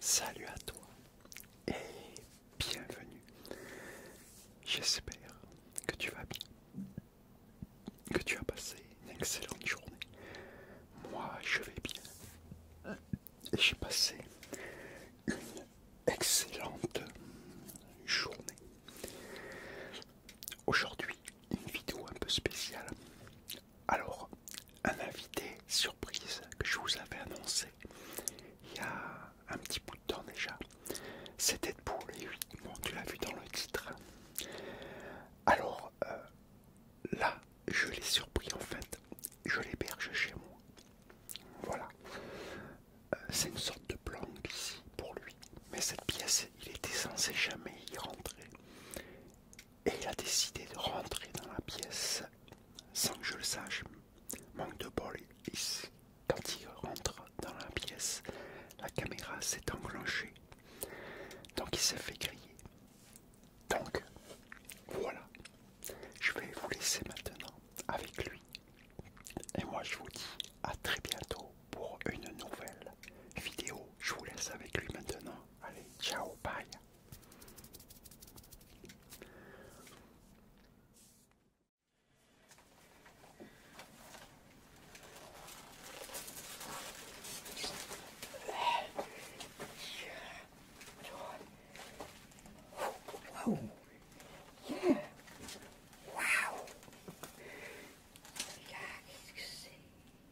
salut à toi et bienvenue. J'espère que tu vas bien, que tu as passé une excellente journée. Moi, je vais bien. j'ai passé une excellente journée. Aujourd'hui, une vidéo un peu spéciale. Alors, un invité surprise que je vous avais annoncé il y a un petit bout de temps déjà, c'était pour les 8 tu l'as vu dans le titre. Alors, euh, là, je l'ai surpris en fait, je l'héberge chez moi. Voilà, euh, c'est une sorte de planque ici pour lui. Mais cette pièce, il était censé jamais y rentrer. Et il a décidé de rentrer dans la pièce sans que je le sache. Manque de bol, ici. quand il rentre dans la pièce, la caméra s'est enclenchée. Donc il s'est fait griller. Donc voilà. Je vais vous laisser maintenant avec lui. Et moi je vous dis à très bientôt pour une nouvelle vidéo. Je vous laisse avec lui maintenant. Allez, ciao, bye.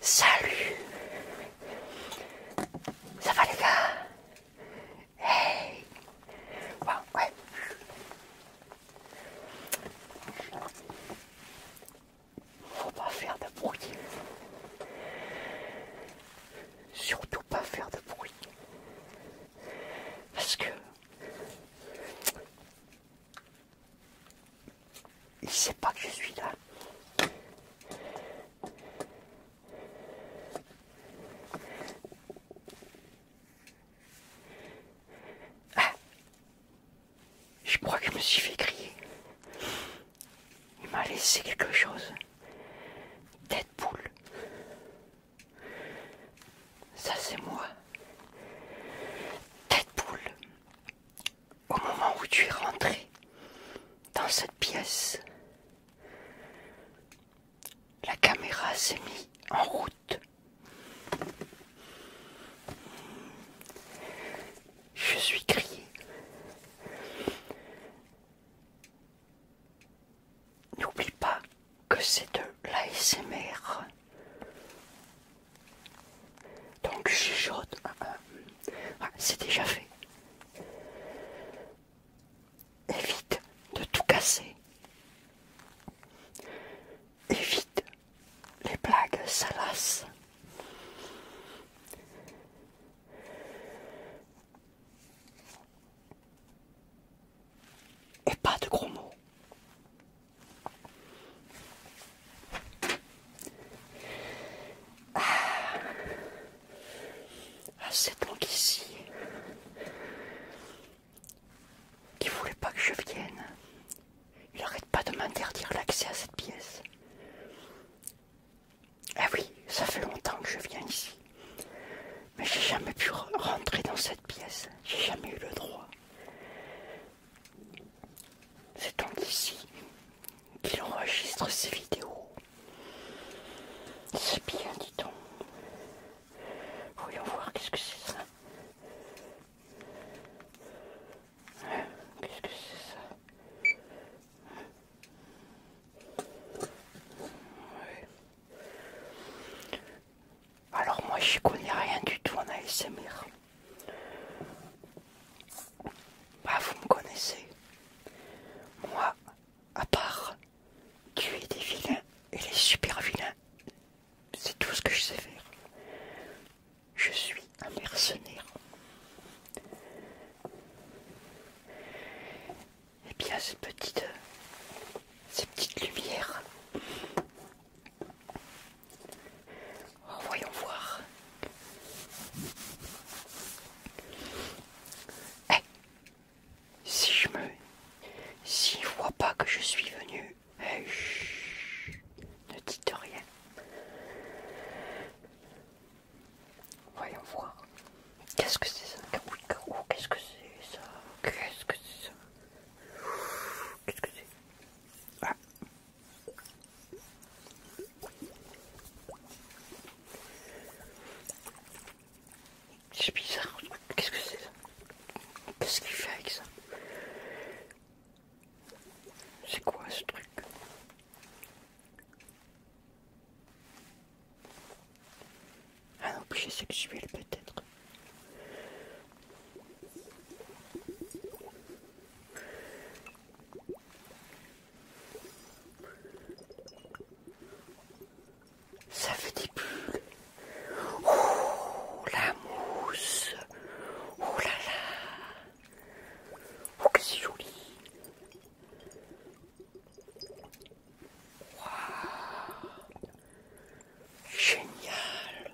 salut Ça va les gars Hey bon, ouais. Faut pas faire de bruit. Surtout pas faire de bruit. Parce que il sait pas que je suis là. Ah. Je crois que je me suis fait crier. Il m'a laissé quelque chose. Tête poule. Ça c'est moi. Tête poule au moment où tu es rentré dans cette pièce, la caméra s'est mise en route. Je suis crié. N'oublie pas que c'est de l'ASMR. Donc je chaude. Hein, hein. C'est déjà fait. Évite de tout casser. Évite les blagues salaces. Et pas de gros mots. Ah, ah, c'est donc ici ne voulait pas que je vienne. Il n'arrête pas de m'interdire l'accès à cette pièce. Ah oui, ça fait longtemps que je viens ici. Mais j'ai jamais pu rentrer dans cette pièce. J'ai jamais eu le droit. C'est donc ici qu'il enregistre ses vidéos. C'est bien, dit donc. Voyons voir qu'est-ce que c'est ça. Hein, qu'est-ce que c'est ça Alors moi je connais rien du tout en ASMR. Bah, vous me connaissez. Moi, à part tuer des vilains et les super vilains, c'est tout ce que je sais faire. Je suis un mercenaire. Et eh bien, ces petites, euh, ces petites lumières, Oh, voyons voir. Eh, si je me... Si je vois pas que je suis venu... Eh, ne dites rien. Voyons voir. Qu'est-ce que c'est ça Qu'est-ce que c'est ça Qu'est-ce que c'est ça ah. Qu'est-ce que c'est c'est bizarre. Qu'est-ce que c'est ça Qu'est-ce qu'il fait avec ça C'est quoi ce truc Un ah objet sexuel peut-être. Ça fait des bulles. Oh, la mousse. Oh là là. Oh, que c'est joli. Waouh. Génial.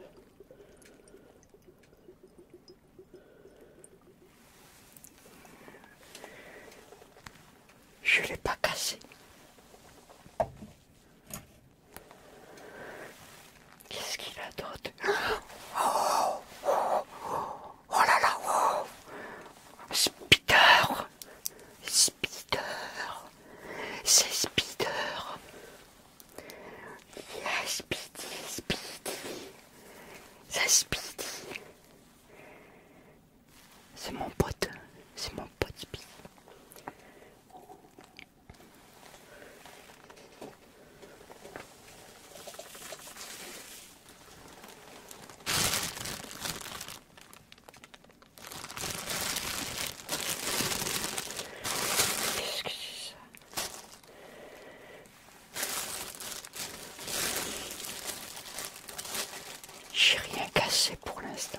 Je l'ai pas cassé. Qu'est-ce qu'il a d'autre oh, là là Spider Spider C'est Spider il y Speedy, Speedy. C'est mon pote. C'est mon pote Speedy. Qu'est-ce que c'est ça j'ai rien cassé pour l'instant.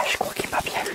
Ah, je crois qu'il m'a bien vu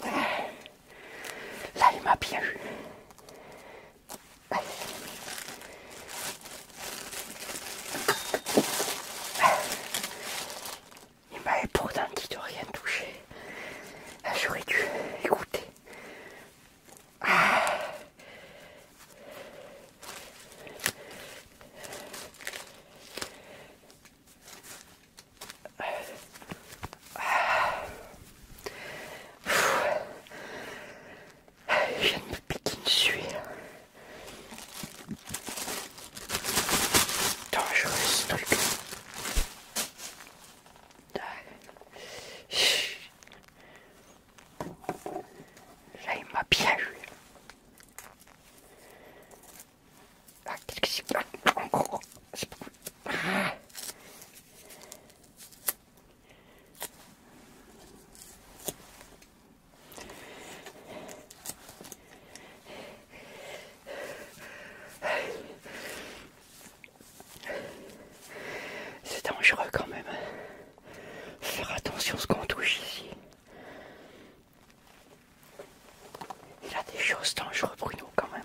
Là, il m'a bien eu. Il m'a pourtant dit de rien toucher. Ah, j'aurais dû écouter. Ah. Je viens de me piquer une je hein. dangereuse ce truc. Là, il m'a bien eu. Ah, qu'est-ce que c'est pas C'est dangereux quand même. Faire attention à ce qu'on touche ici. Il a des choses dangereuses nous quand même.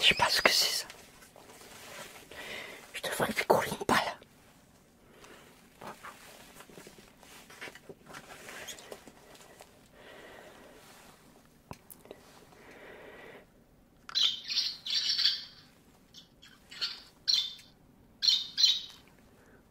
Je sais pas ce que c'est ça. Je devrais faire courir une balle.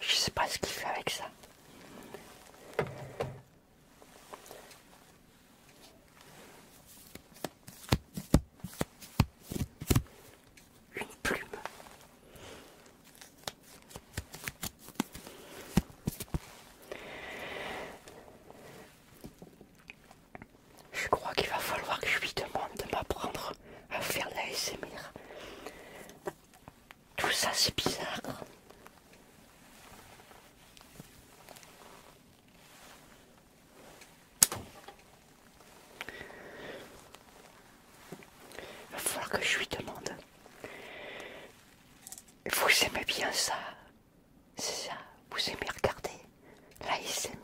Je sais pas ce qu'il fait avec ça. Une plume. Je crois qu'il va falloir que je lui demande de m'apprendre à faire la SMR. Tout ça c'est bizarre. Il va falloir que je lui demande. Vous aimez bien ça c'est ça, vous aimez regarder l'ASMR.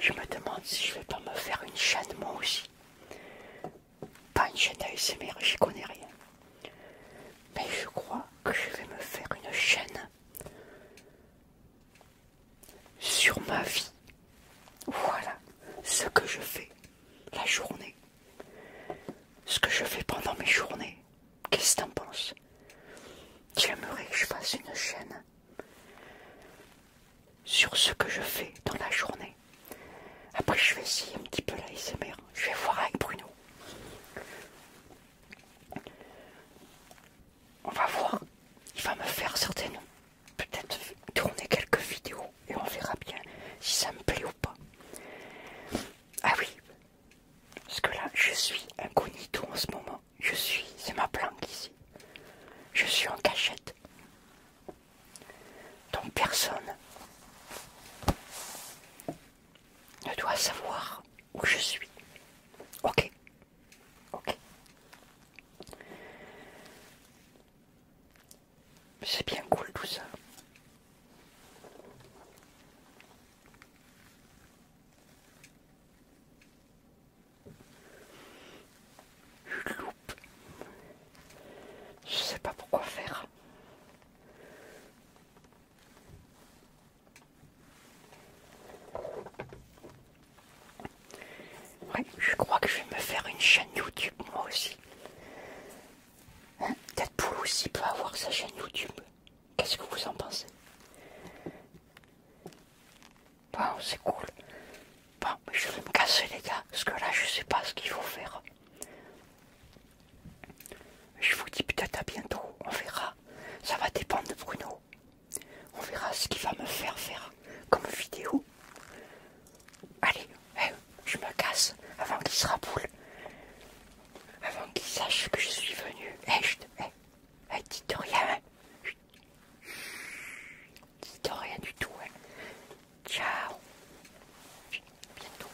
Je me demande si je vais pas me faire une chaîne moi aussi. Pas une chaîne ASMR, j'y connais rien. Mais je crois que je vais me faire une chaîne sur ma vie. Voilà ce que je fais la journée ce que je fais pendant mes journées. Qu'est-ce que t'en penses J'aimerais que je fasse une chaîne sur ce que je fais dans la journée. Après, je vais essayer un petit peu la SMR. Je vais voir avec Bruno. On va voir. Il va me faire certainement peut-être tourner quelques vidéos et on verra bien si ça me plaît ou pas. Ah oui, parce que là je suis incognito en ce moment. Je suis, c'est ma planque ici. Je suis en cachette. Donc personne ne doit savoir où je suis. Ok. Ok. C'est bien cool tout ça. Je sais pas pourquoi faire. Ouais, je crois que je vais me faire une chaîne YouTube moi aussi. Peut-être Peut-être Deadpool aussi peut avoir sa chaîne YouTube. Qu'est-ce que vous en pensez Bon, c'est cool. Bon, mais je vais me casser les gars, parce que là je sais pas ce qu'il faut faire. Je vous dis peut-être à bientôt, on verra. Ça va dépendre de Bruno. On verra ce qu'il va me faire faire comme vidéo. Allez, eh, je me casse avant qu'il se raboule, avant qu'il sache que je suis venu. Eh, je eh, eh, dis rien, hein. dis rien du tout, hein. Ciao. Bientôt.